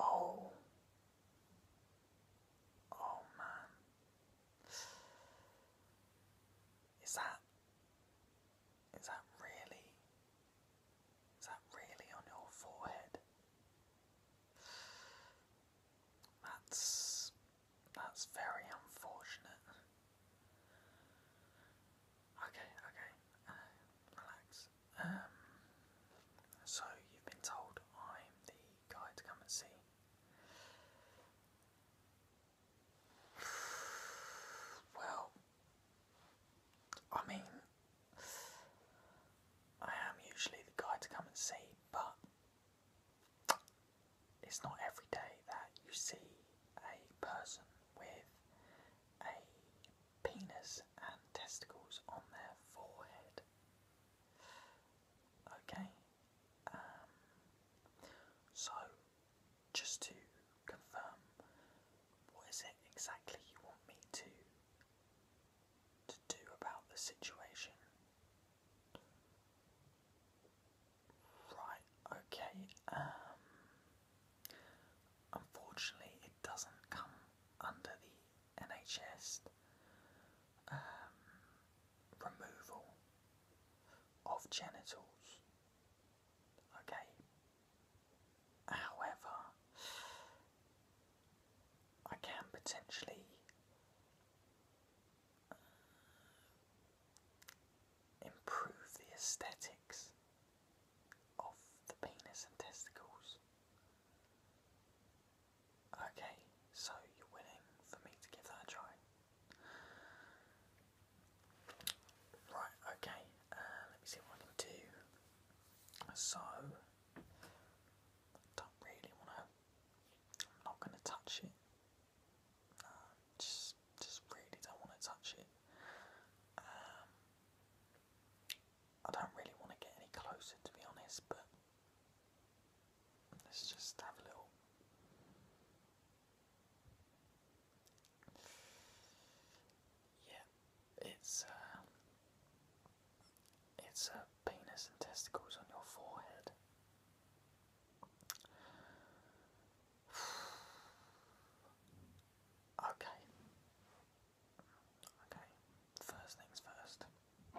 Oh. Oh man. Is that is that really is that really on your forehead? That's that's very unfortunate. Okay, okay. Uh, relax. Um, so you've been told I'm the guy to come and see. Well, I mean, I am usually the guy to come and see, but it's not every day that you see a person with a penis and testicles on their forehead. Okay, um, so just to confirm, what is it exactly you want me to to do about the situation? Right, okay, um, Unfortunately, it doesn't come under the NHS um, removal of genitals. Okay. However, I can potentially uh, improve the aesthetic of the penis and testicles. Okay, so you're winning for me to give that a try. Right, okay, uh, let me see what I can So, don't really want to, I'm not going to touch it. Um, just, just really don't want to touch it. Um, I don't really want to get any closer to be honest, but let's just have a little. Yeah, it's uh, it's a uh, penis and testicles on your forehead. Okay, Okay, first things first. I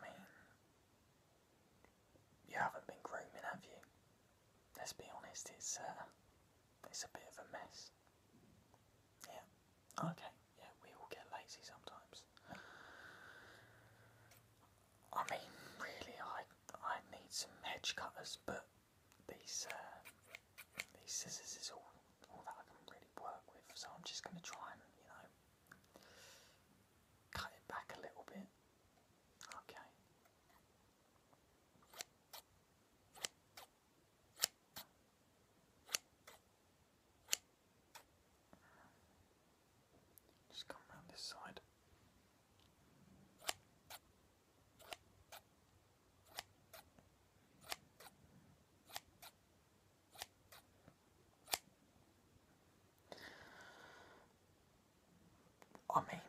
mean, you haven't been grooming, have you? Let's be honest, it's uh, it's a bit of a mess. Yeah. Okay. Yeah, we all get lazy sometimes. I mean, really, I I need some hedge cutters, but these uh, these scissors is all all that I can really work with. So I'm just going to try and you know cut it back a little bit. Okay. Just come around this side. I mean,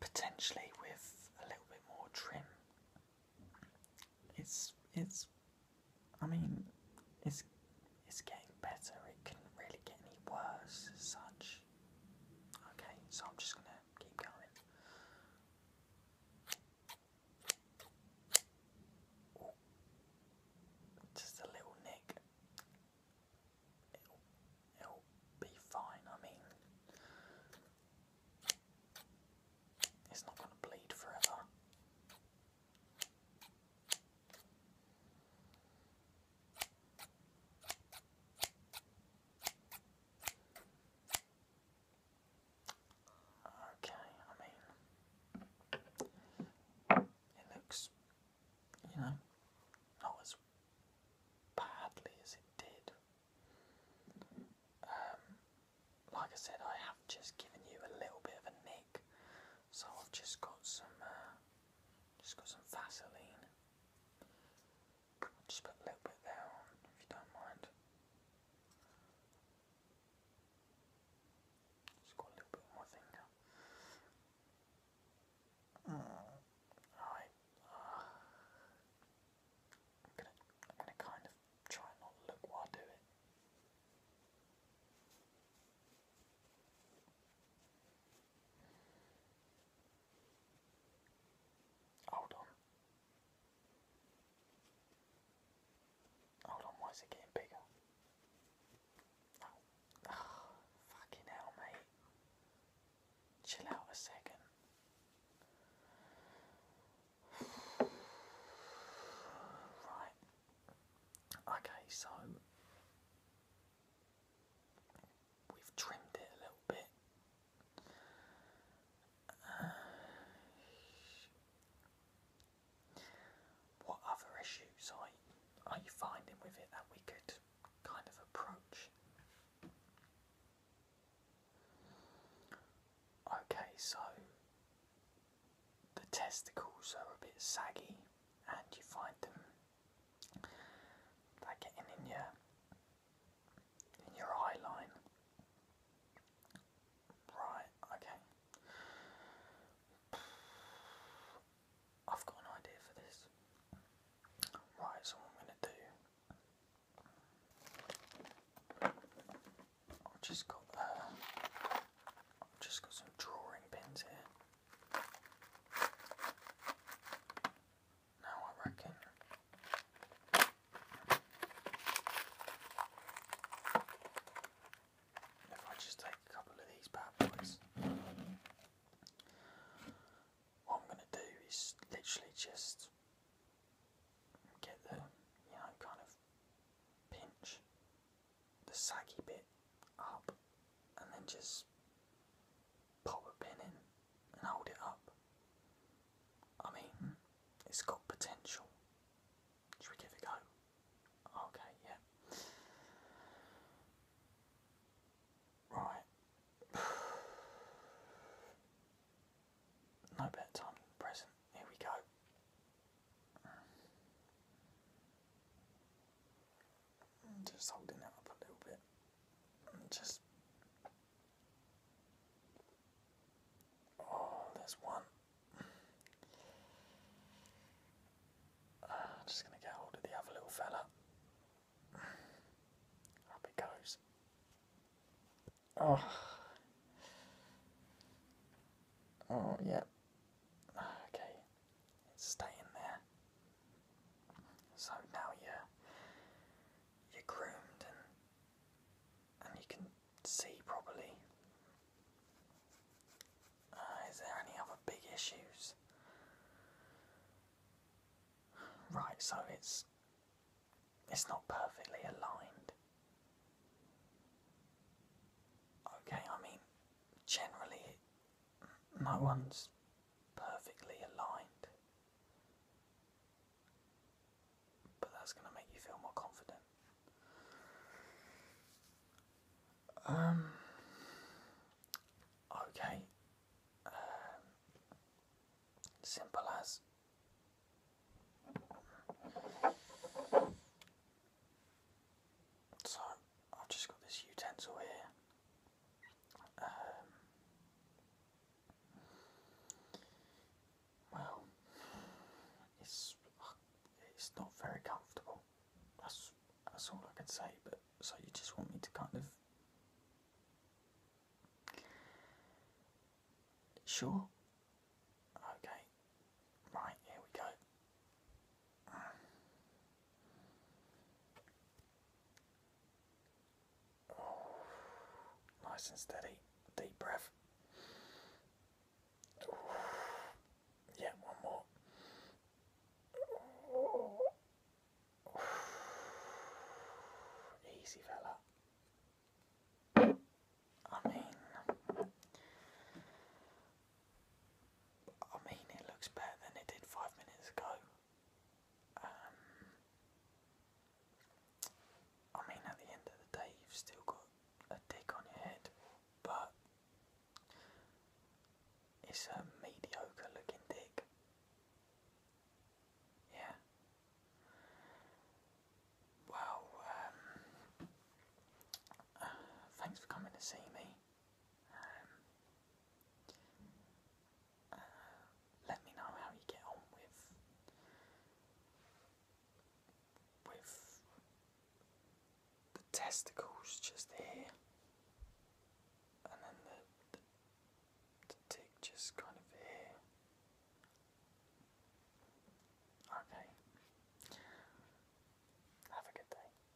potentially with a little bit more trim, it's it's I mean, it's it's getting better. It couldn't really get any worse such. Okay, so I'm just gonna keep going. Just a little nick. It'll, it'll be fine. I mean, it's not gonna bleed forever. Okay, I mean, it looks, you know, not as badly as it did. Um, like I said, I have just given you a little bit of a nick, so I've just got some uh, just got some Vaseline. just put a little bit there on, if you don't mind. Just got a little bit on finger. Alright. Mm. Ah. I'm gonna, I'm gonna kind of try not look while I Hold on. Hold on, why is it bigger? Oh, fucking hell, mate. Chill out a second. Right. Okay, so We've trimmed it a little bit. Uh, what other issues are are you finding with it that we could kind of approach? Okay, so the testicles are a bit saggy and you find them they getting in your in your eye line. Right, okay. I've got an idea for this. Right, so I'm gonna do I've just got uh, I've just got some drawing pins here. Now I reckon if I just take a couple of these bad boys, what I'm gonna do is literally just get the you know kind of pinch the saggy bit up and then just pop a pin in and hold it up. I mean, it's got potential. Should we give it a go? Okay, yeah. Right. no better time present. Here we go. And just holding it up a little bit. And just. Oh, there's one. just gonna get hold of the other little fella. Up it goes. Oh. Oh, yeah. Okay stay in there. So now you're you're groomed and and you can see properly. Uh, is there any other big issues? Right, so it's it's not perfectly aligned. Okay, I mean generally no one's perfectly aligned. But that's going to make you feel more confident. Um, okay. Um, simple as. So, I've just got this utensil here. Um, well, it's it's not very comfortable. That's that's all I can say. But so you just want me to kind of sure? Okay, right here we go. Um, nice and steady. Deep breath. yeah, one more. easy, fella. I mean, I mean, it looks better than it did five minutes ago. Um, I mean, at the end of the day, you've still got a dick on your head, but it's a mediocre looking dick. Yeah. Well, um, thanks for coming to see me. Um, let me know how you get on with with the testicles just here, and then the, the, the just kind of here. Okay. Have a good day.